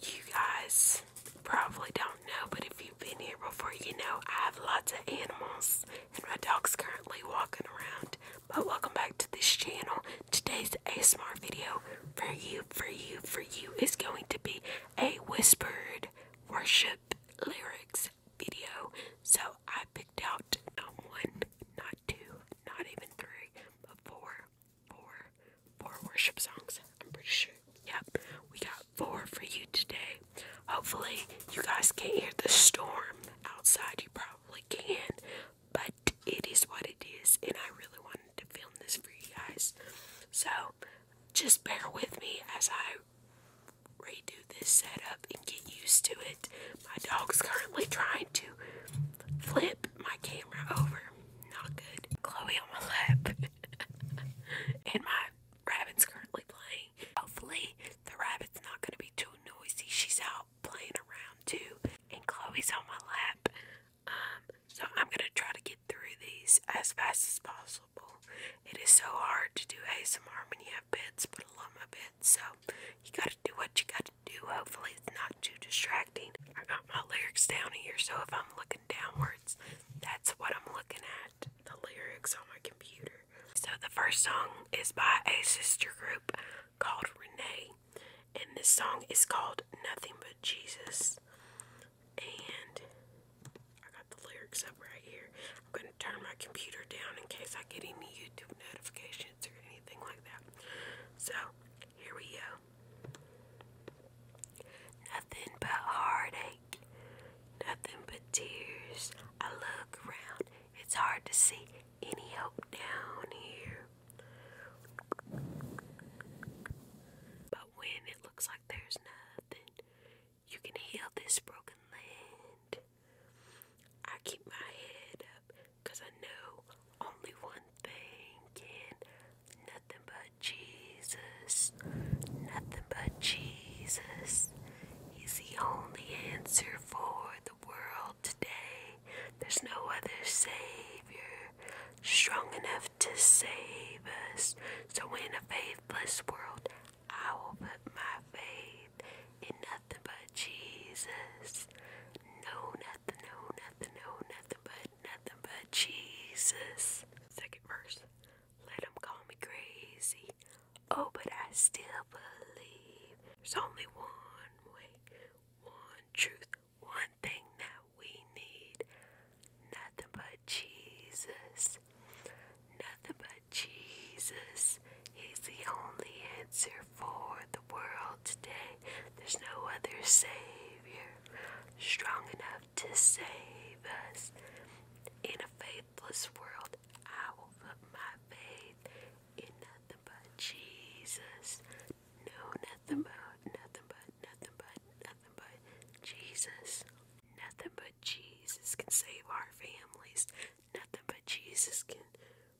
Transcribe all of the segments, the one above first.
You guys probably don't know, but if you've been here before, you know I have lots of animals, and my dog's currently walking around. But welcome back to this channel. Today's ASMR video for you, for you, for you is going to be a whispered worship lyrics video. So I picked out not one, not two, not even three, but four or four worship songs. I'm pretty sure. Yep, we got four for you today. Hopefully, you guys can hear the storm outside. You probably can, but it is what it is, and I really wanted to film this for you guys. So, just bear with me as I redo this setup and get used to it. My dog's currently trying to flip my camera over not good. Chloe on my lap. and my rabbit's currently playing. Hopefully, the rabbit's not going to be too noisy. She's out playing around too. And Chloe's on my lap. Um, so I'm going to try to get through these as fast as possible. It is so hard to do ASMR when you have bits, but I love my bits. So you got to do what you got to do. Hopefully, it's not too distracting. I got my lyrics down here, so if I'm looking downwards, that's what I'm looking at the lyrics on my computer. So, the first song is by a sister group called Renee, and this song is called Nothing But Jesus. And I got the lyrics up right here. I'm going to turn my computer down in case I get any YouTube notifications or anything like that. So, here we go. Nothing but heartache, nothing but tears. I look around, it's hard to see any hope down here. But when it looks like there's nothing, you can heal this broken land. I keep my head because I know only one thing and nothing but Jesus. Nothing but Jesus. He's the only answer for the world today. There's no other Savior strong enough to save us. So, in a faithless world, I will put my faith in nothing but Jesus no nothing, no nothing, no nothing but nothing but Jesus. Second verse. Let them call me crazy. Oh, but I still believe. There's only one way, one truth, one thing that we need. Nothing but Jesus. Nothing but Jesus. He's the only answer for the world today. There's no other Savior strong enough to save us. In a faithless world, I will put my faith in nothing but Jesus. No, nothing but, nothing but, nothing but, nothing but Jesus. Nothing but Jesus can save our families. Nothing but Jesus can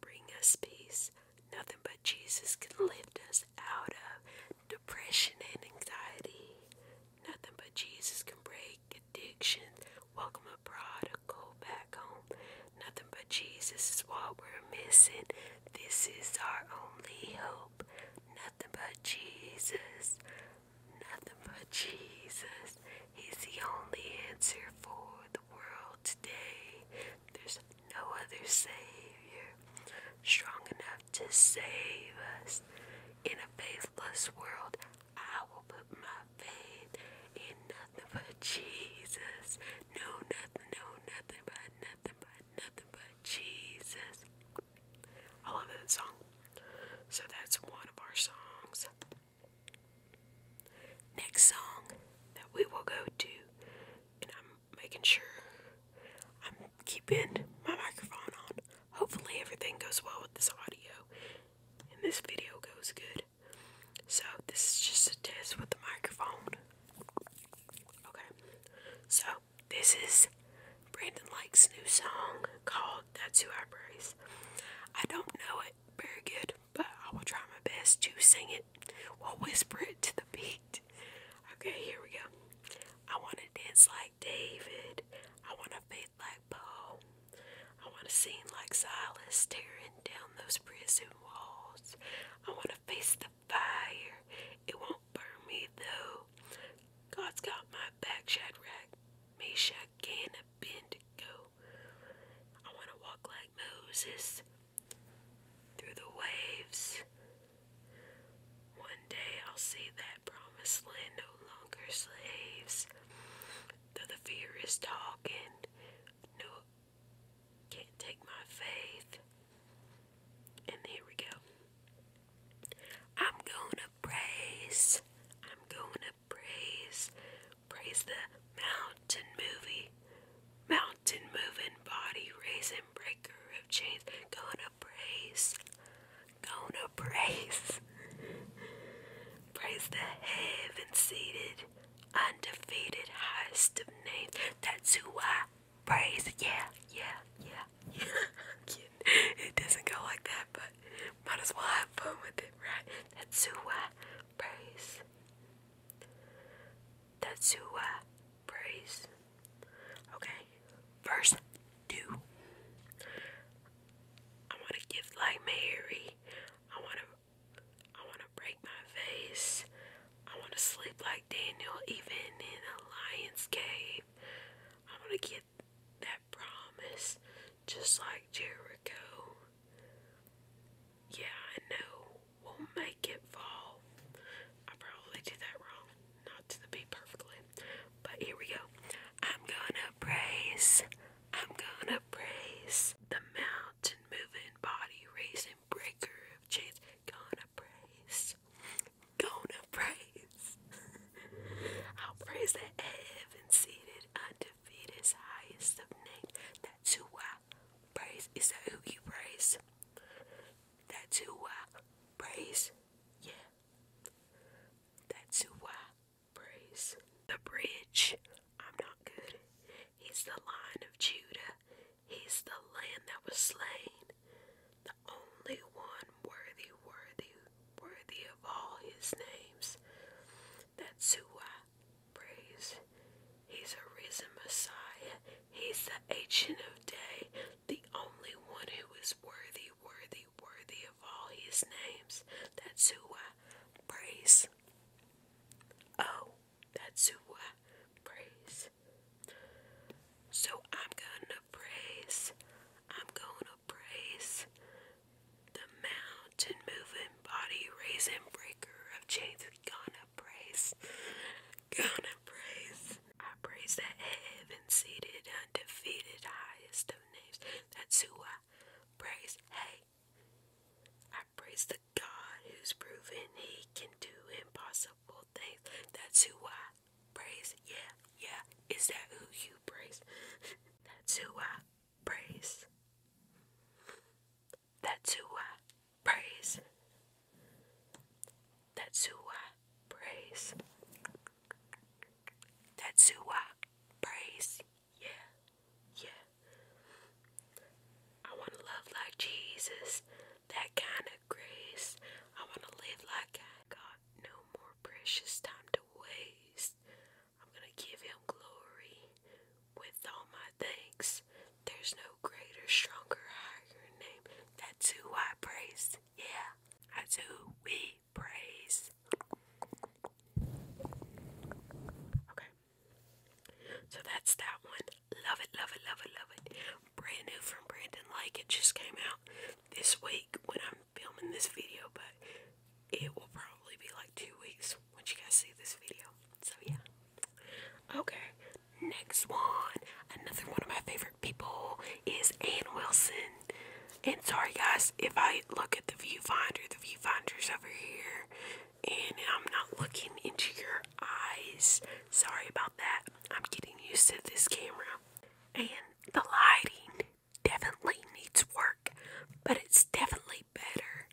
bring us peace. Nothing but Jesus can lift us out of depression and anxiety. Nothing but Jesus can break addiction, welcome a prodigal back home. Nothing but Jesus is what we're missing. This is our only hope. Nothing but Jesus. Nothing but Jesus. He's the only answer for the world today. There's no other Savior strong enough to save us. In a faithless world, I will put my faith in nothing but Jesus. No, nothing, no, nothing but nothing but nothing but Jesus. I love that song. So that's one of our songs. Next song that we will go to and I'm making sure I'm keeping my microphone on. Hopefully, everything goes well with this audio and this video goes good. So, this is just a test with the microphone. Okay, so this is Brandon Lake's new song called That's Who I Praise. I don't know it very good, but I will try my best to sing it We'll whisper it to the beat. Okay, here we go. I want to dance like David. I want to faith like Paul. I want to sing like Silas tearing down those prison walls. I want to face the fire. It won't burn me though. God's got my back, Shadrach, Meshach, and Abednego. I want to walk like Moses through the waves. One day I'll see that promised land no longer slaves. Though the fear is talking, no, can't take my faith. And here we go. I'm gonna praise, I'm gonna praise Praise the mountain movie, mountain moving body raising breaker of chains. Gonna praise, gonna praise. Praise the heaven seated, undefeated host of names. That's who I praise. yeah, yeah, yeah. it doesn't go like that, but might as well have fun with it, right? That's who I praise. That's who I praise. Okay, verse 2. I want to give like Mary. I want to I want to break my face. I want to sleep like Daniel even in a lion's cave. I want to get that promise just like Jericho. Yeah, I know. We'll make it fall. I probably did that wrong. Not to the perfectly. But here we go. I'm gonna praise. I'm gonna praise the mountain moving body raising breaker of chains. Gonna praise. Gonna praise. I'll praise the heaven seated undefeated highest of names. That's who I praise is that who you praise. That's who I praise. Yeah. That's who I praise. The bridge. I'm not good. He's the line of Judah. He's the land that was slain. The only one worthy, worthy, worthy of all his names. That's who I praise. He's a Messiah. He's the ancient of day, the only one who is worthy, worthy, worthy of all his names. That's who I praise. Oh, that's who I praise. So I'm gonna praise. I'm gonna praise the mountain. And moving, body raising, breaker of chains. gonna praise, gonna praise. I praise the heaven seated, undefeated, highest of names. That's who I praise. Hey, I praise the God who's proven He can do impossible things. That's who I praise. Yeah, yeah. Is that who you praise? That's who I praise. That's who I praise. That's who I praise. That's who I praise. Yeah, yeah. I want to love like Jesus, that kind of grace. I want to live like I got no more precious time to waste. I'm going to give him glory with all my thanks. There's no greater, stronger, higher name. That's who I praise. Yeah, that's who we praise. Okay. So that's that one. Love it, love it, love it, love it. Brand new from Brandon Lake. It just came out this week when I'm filming this video, but it will probably be like two weeks once you guys see this video. So yeah. Okay, next one. Another one of my favorite people is Anne Wilson. And sorry guys, if I look at the viewfinder, the viewfinder's over here, and I'm not looking into your eyes. Sorry about that. I'm getting used to this camera. And the lighting definitely needs work, but it's definitely better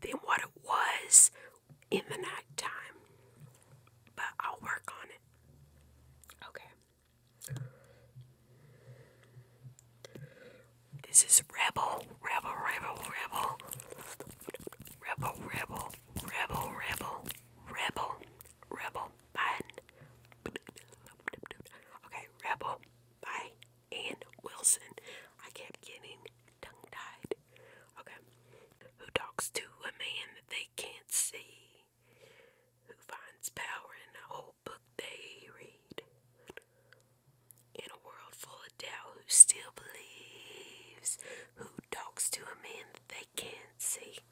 than what it was in the nighttime. But I'll work on it. Okay. This is Rebel, Rebel, Rebel, Rebel. Rebel, Rebel, Rebel, Rebel, Rebel, Okay, Rebel, bye and Wilson. I kept getting tongue tied. Okay. Who talks to a man that they can't see? Who finds power in a whole book they read? In a world full of doubt, who still believes? Who talks to a man that they can't see?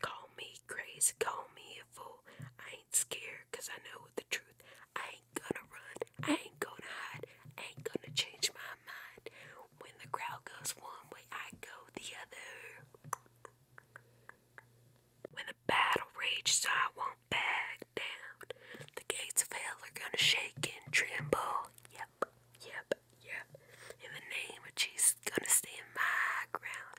Call me crazy, call me a I ain't scared, I know the truth. I gonna run, I ain't gonna hide, I ain't gonna change my mind. When the crowd goes one way, I go the other. When the battle rages, so I won't back down. The gates of hell are gonna shake and tremble. Yep, yep, yep. In the name of Jesus, gonna stand my ground.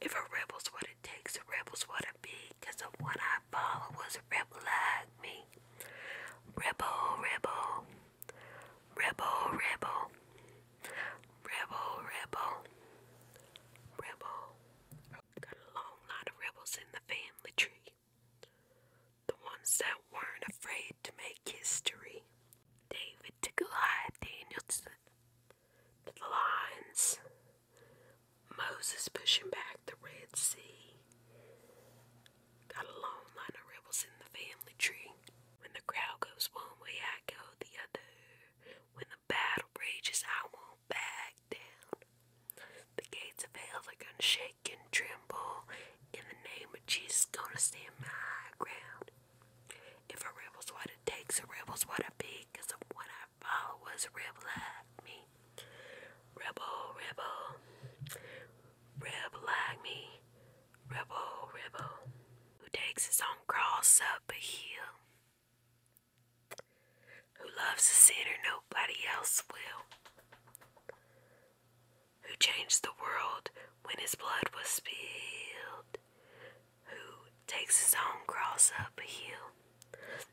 If a rebel's what it takes, a rebel's what it be. Cause of what I follow was a rebel I me. Rebel, rebel, rebel, rebel, rebel, rebel, Got a long line of rebels in the family tree. The ones that weren't afraid to make history. David to Goliath, Daniel to the lions, Moses pushing back the Red Sea. Got a long line of rebels in the family tree. When the crowd goes one way, I go the other. When the battle rages, I won't back down. The gates of hell are gonna shake and tremble. In the name of Jesus, gonna stand my ground. If a rebel's what it takes, a rebel's what I be, of what I followers rebel like me. Rebel, rebel. Rebel like me. Rebel, rebel. Who takes his own cross up a hill. Who loves the sinner nobody else will. Who changed the world when his blood was spilled. Who takes his own cross up a hill.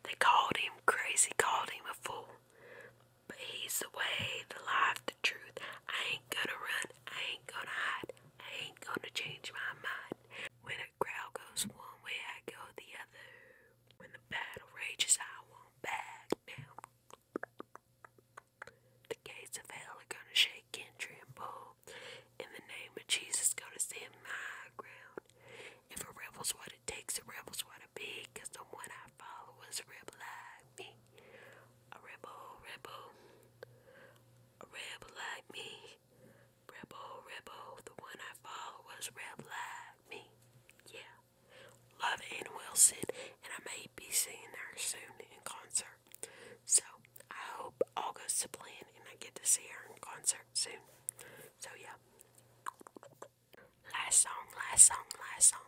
They called him crazy, called him a fool. But he's the way, the life, the truth. I ain't gonna run, I ain't gonna hide, I ain't gonna change my mind. When a crowd goes one way, I go the other. When the battle rages, I won't back down. The gates of hell are gonna shake and tremble. In the name of Jesus, gonna stand my ground. If a rebel's what it takes, a rebel's what it be. Cause the one I follow is a rebel like me. A rebel, rebel. A rebel like me. Rebel, rebel. The one I follow is a rebel like me. Yeah. Love Ann Wilson, and I may be seeing her soon in concert. So I hope all goes plan and I get to see her in concert soon. So yeah. Last song, last song, last song.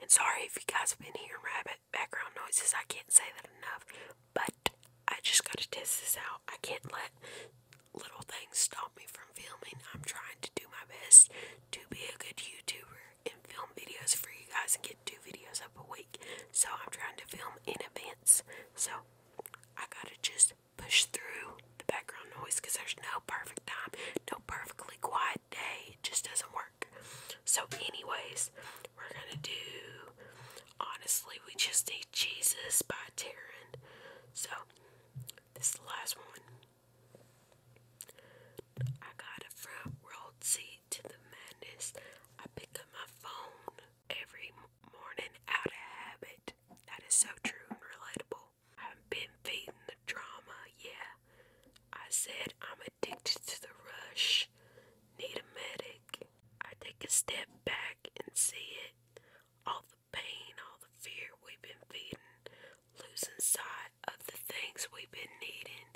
And sorry if you guys have been hearing rabbit background noises, I can't say that enough, but I just gotta test this out. I can't let little things stop me from filming. I'm trying to do my best to be a good YouTuber and film videos for you guys and get two videos up a week. So I'm trying to film in advance. So I gotta just push through the background noise because there's no perfect time, no perfectly quiet day. It just doesn't work. So, anyways, we're gonna do Honestly, We Just Need Jesus by Taryn. So, this is the last one. I got a front world seat to the madness. I pick up my phone every morning out of habit. That is so true and relatable. I have been feeding the drama, yeah. I said I'm addicted to the rush. Need a medic. I take a step back and see it. All the pain, all the fear we've been feeding, losing sight of the things we've been needing.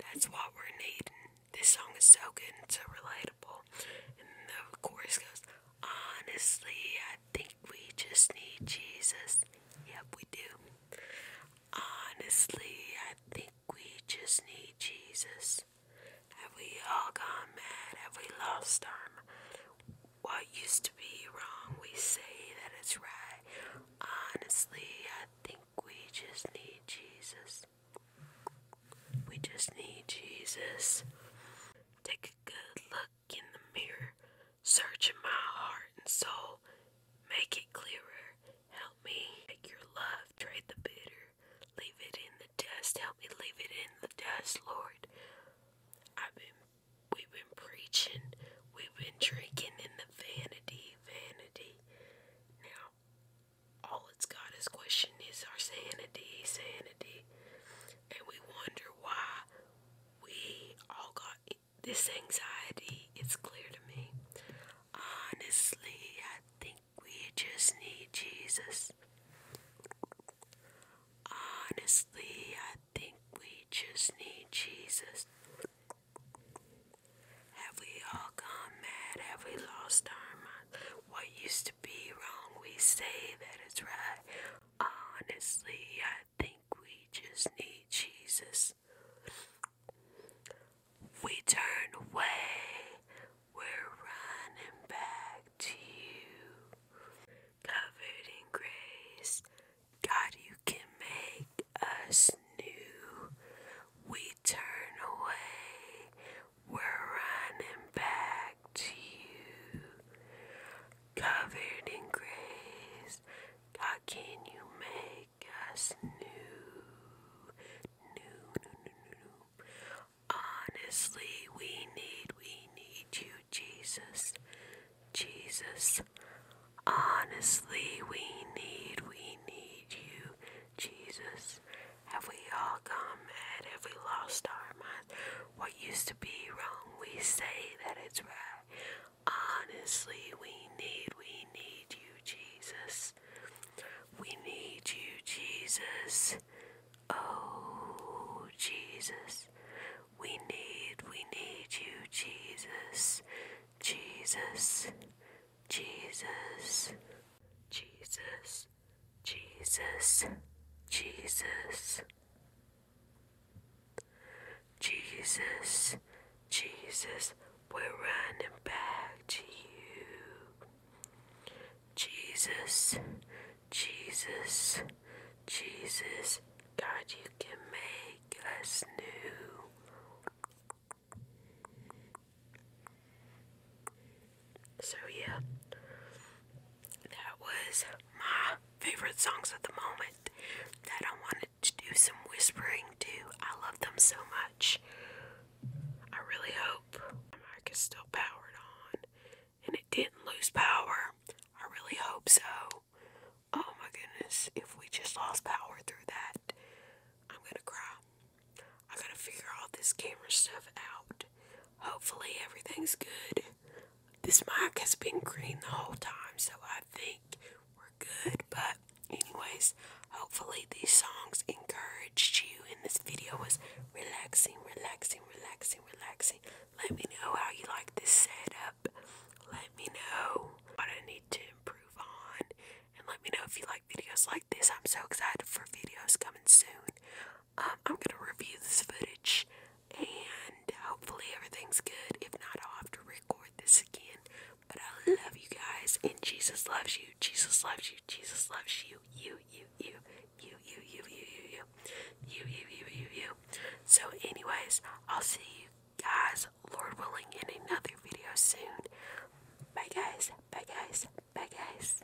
That's what we're needing. This song is so good and so relatable. And of course goes, honestly, I think we just need Jesus. Yep, we do. Honestly, I think we just need Jesus. Have we all gone mad? Have we lost our what used to be wrong? We say that it's right. Honestly, I think we just need Jesus. We just need Jesus. Take a good look in the mirror, searching my heart and soul. Make it clearer. Help me make your love trade the bitter. Leave it in the dust. Help me leave it in the dust, Lord. I've been we've been preaching. We've been drinking in the vanity, vanity. Now all it's got is question is our sanity, sanity and we wonder why we all got this anxiety. It's clear to me. Honestly, I think we just need Jesus. Honestly, I think we just need Jesus. Have we all gone mad? Have we lost our minds? What used to be wrong, we say that it's right. Honestly, I think we just need Jesus. We turn away, we're running back to you. Covered in grace, God, you can make us new. We turn away, we're running back to you. Covered in grace, God, can you make us new? New, new, new, new, Honestly, we need, we need you, Jesus. Jesus. Honestly, we need, we need you, Jesus. Have we all come mad? Have we lost our minds? What used to be wrong, we say that it's right. Honestly, we need, we need you, Jesus. We need you, Jesus. Oh, Jesus. We need, we need you, Jesus. Jesus. Jesus. Jesus. Jesus, Jesus, Jesus, Jesus, we're running back to you. Jesus, Jesus, Jesus, God, you can make us new. So yeah, that was my favorite songs at the moment that I wanted to do some whispering to. I love them so much. I really hope my mic is still powered on and it didn't lose power. I really hope so. Oh my goodness, if we just lost power through that, I'm gonna cry. I gotta figure all this camera stuff out. Hopefully, everything's good. This mic has been green the whole time, so I think we're good. But, anyways, hopefully, these songs encouraged you, and this video was relaxing, relaxing, relaxing, relaxing. Let me know how you like this setup. Let me know what I need to improve on. And let me know if you like videos like this. I'm so excited for videos coming soon uh, I'm gonna review this footage and hopefully everything's good. If not, I'll have to record this again. But I love you guys, and Jesus loves you. Jesus loves you. Jesus loves you. You, you, you, you, you, you, you, you, you, you, you, you, you, you. So, anyways, I'll see you guys, Lord willing, in another video soon. Bye, guys. Bye, guys. Bye, guys.